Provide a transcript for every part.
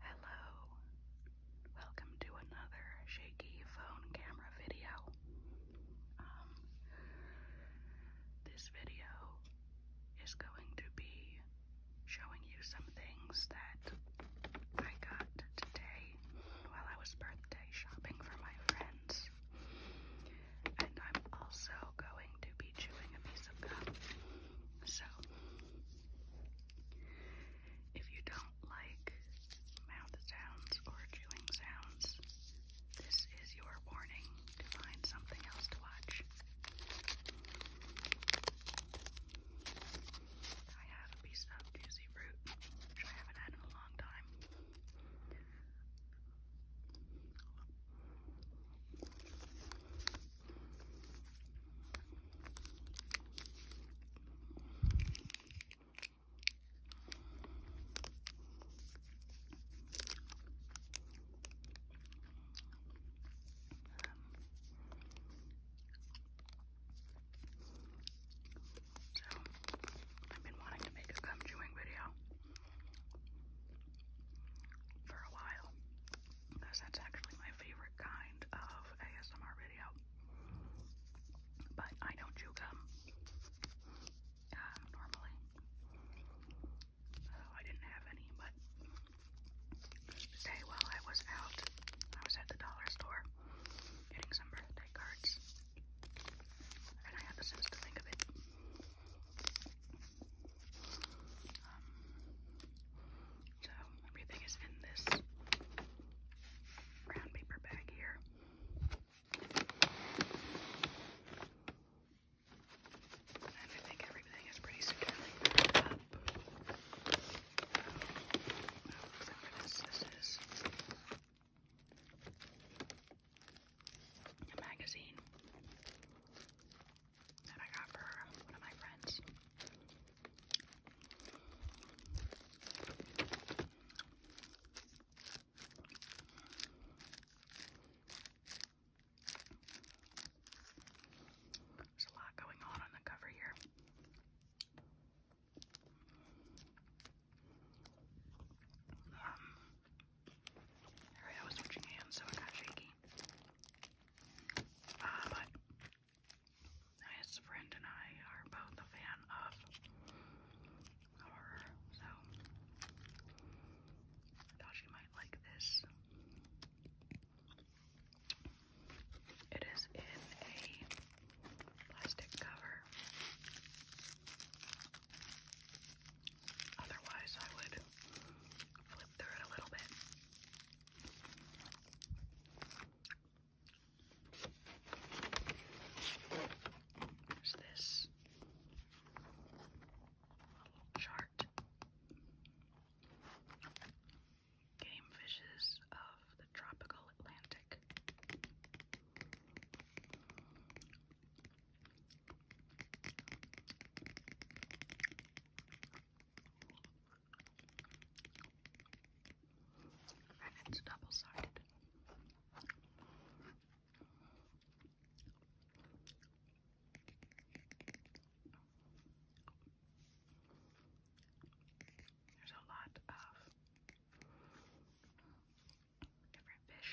Hello, welcome to another shaky phone camera video. Um, this video is going to be showing you some things that I got today while I was birthday shopping for my friends. And I'm also going to be chewing a piece of gum. So, if you don't like mouth sounds or chewing sounds, this is your warning find something else to watch. I have a piece of juicy fruit, which I haven't had in a long time. So, I've been wanting to make a gum chewing video for a while because that's actually my favorite kind of ASMR video. But I don't chew gum uh, normally, so I didn't have any. But today, while I was out, I was at the dollar store getting some birthday cards, and I had the sense to think of it. Um, so everything is in this brown paper bag here. I think everything is pretty securely wrapped up. Um, this, this is a magazine that I got for one of my friends. There's a lot going on on the cover here. Um, Alright, I was switching hands, so it got shaky. Uh, but his friend and I are both a fan of horror, so I thought you might like this. It is in a plastic cover. Otherwise, I would flip through it a little bit. There's this little chart. Game fishes of the tropical Atlantic. And it's double sided. There's a lot of different fish.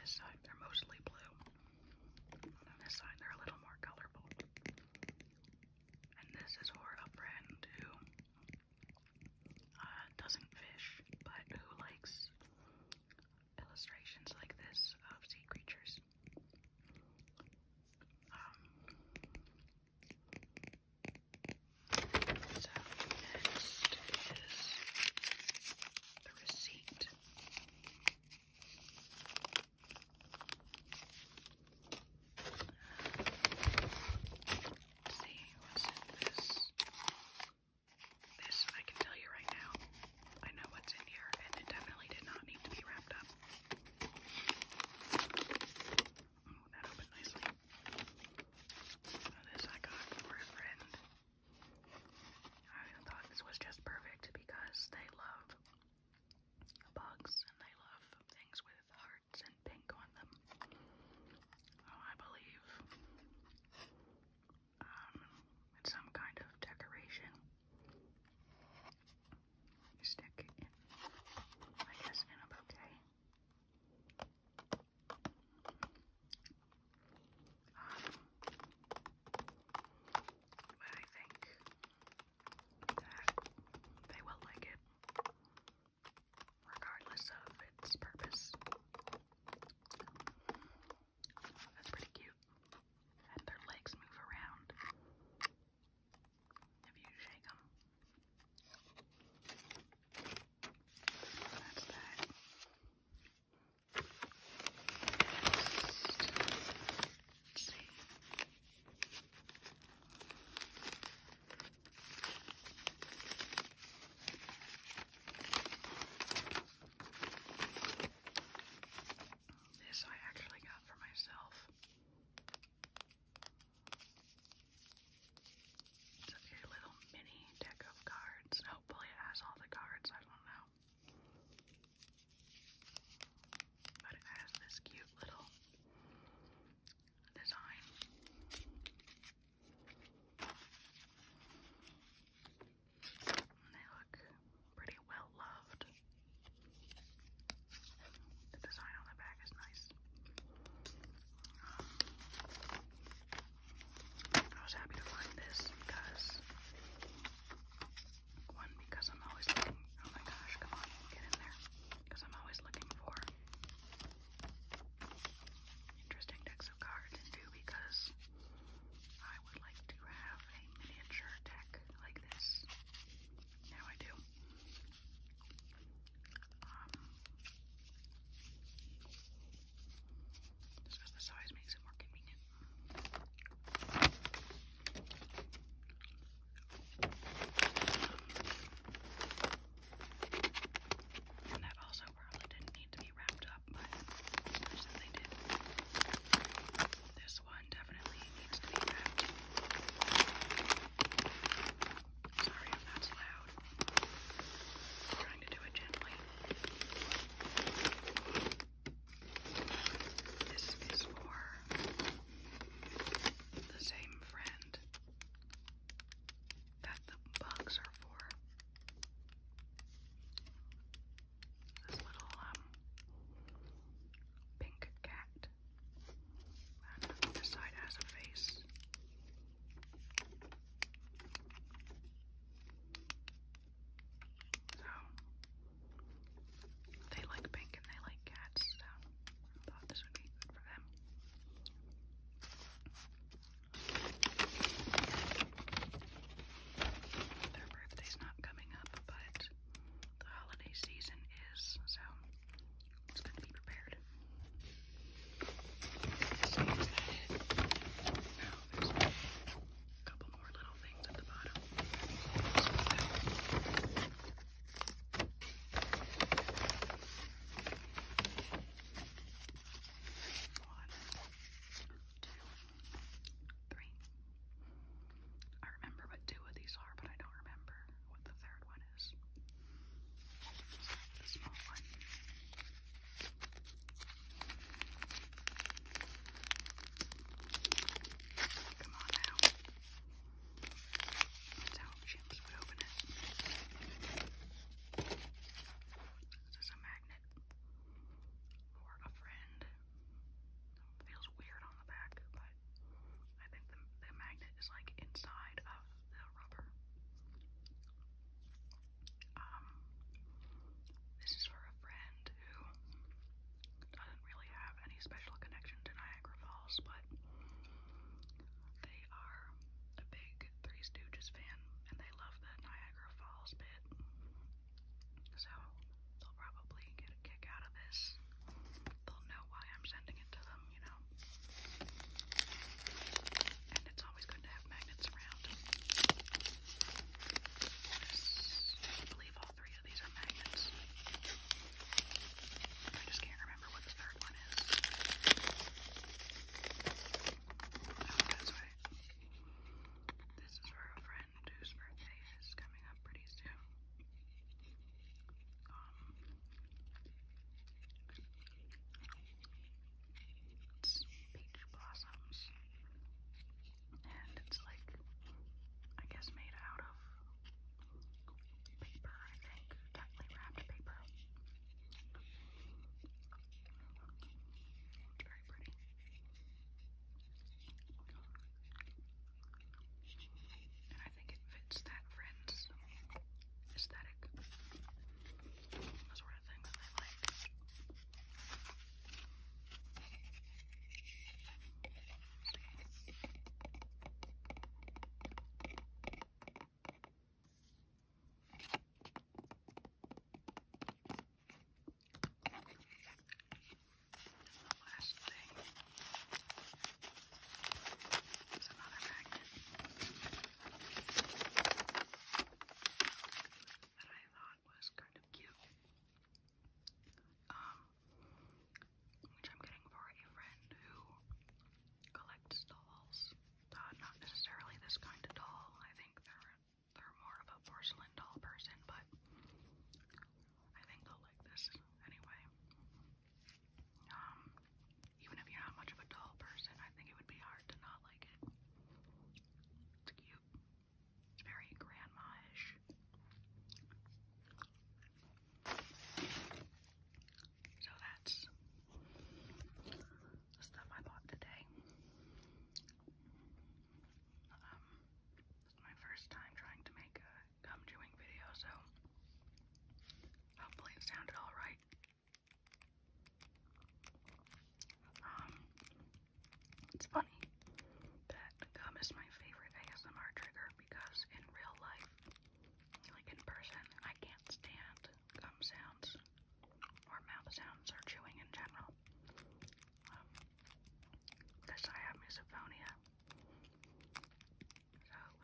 This side, they're mostly blue. this side, they're a little more colorful. And this is for a friend who uh, doesn't fish, but who likes illustrations like this of sea creatures. So next is the receipt. see what's in this. This I can tell you right now. I know what's in here, and it definitely did not need to be wrapped up. that opened nicely. This I got for a friend. I thought this was just perfect because they love bugs and they love things with hearts and pink on them. Oh, I believe um, some kind of decoration stick I guess, in a bouquet. Um, but I think that they will like it, regardless of its purpose. That's pretty cute. And their legs move around if you shake them. That's that. Let's see. This I actually got for myself. It's a little mini deck of cards. Hopefully it has all the cards, I don't know. But it has this cute little design. They look pretty well loved. The design on the back is nice. I was happy to find this because because I'm always looking. Oh my gosh! Come on, get in there. Because I'm always looking for interesting decks because I would like to have a miniature deck like this. Now I do. Um, because the size makes it more convenient. And that also probably didn't need to be wrapped up as much as This one definitely needs to be wrapped. Sorry if that's loud. trying to do it gently. This is for the same friend that the bugs are for. This little um pink cat. And side has a face. So they like pink and they like cats, so I thought this would be for them. Their birthday's not coming up, but the holiday season is, so it's good to be prepared. So there's a couple more little things at the bottom. One, two, three. I remember what two of these are, but I don't remember what the third one is. The small one. Come on now. how chimps would open it. This is a magnet or a friend. feels weird on the back, but I think the magnet is like inside of the rubber. Um, this is for a friend who doesn't really have any special connection to Niagara Falls, but they are a big Three Stooges fan, and they love the Niagara Falls bit. So they'll probably get a kick out of this. They'll know why I'm sending it to them, you know. And it's always good to have magnets around. I believe all three of these are magnets. I just can't remember what the third one This is for a friend whose birthday is coming up pretty soon. it's peach blossoms, and it's like, I guess, made out of paper, I think, tightly wrapped paper. It's very pretty. And I think it fits that friend's aesthetic. The sort of thing that they like. And the another magnet that I thought was kind of cute. Um, which I'm getting for a friend who collects dolls. Uh, not necessarily this kind of doll. I think they're they're more of a porcelain doll person, but I think they'll like this anyway. Um, even if you're not much of a doll person, I think it would be hard to not like it. It's cute. It's very grandma-ish. So that's the stuff I bought today. Um, it's my first time trying to make a gum chewing video, so hopefully it sounded all right. Um, it's funny that gum is my favorite ASMR trigger because in real life, like in person, I can't stand gum sounds or mouth sounds or chewing in general. Um, because I have misophonia.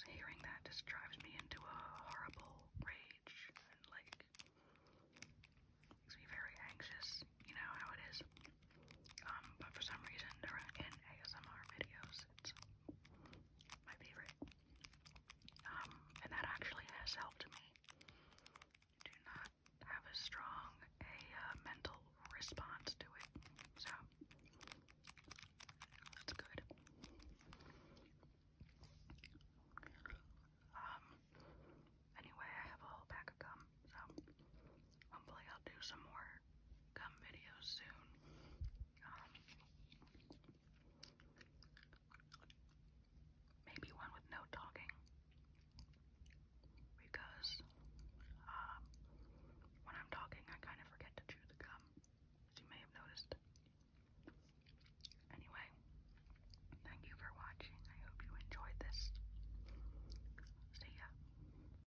So hearing that just drives me into a horrible rage and like makes me very anxious. You know how it is. Um, but for some reason, in ASMR videos, it's my favorite. Um, and that actually has helped me do not have as strong a uh, mental response to it. So that's good. Um, anyway, I have a whole pack of gum, so Hopefully, I'll do some more gum videos soon. Um, maybe one with no talking. Because um, when I'm talking, I kind of forget to chew the gum, as you may have noticed. Anyway, thank you for watching. I hope you enjoyed this. See ya.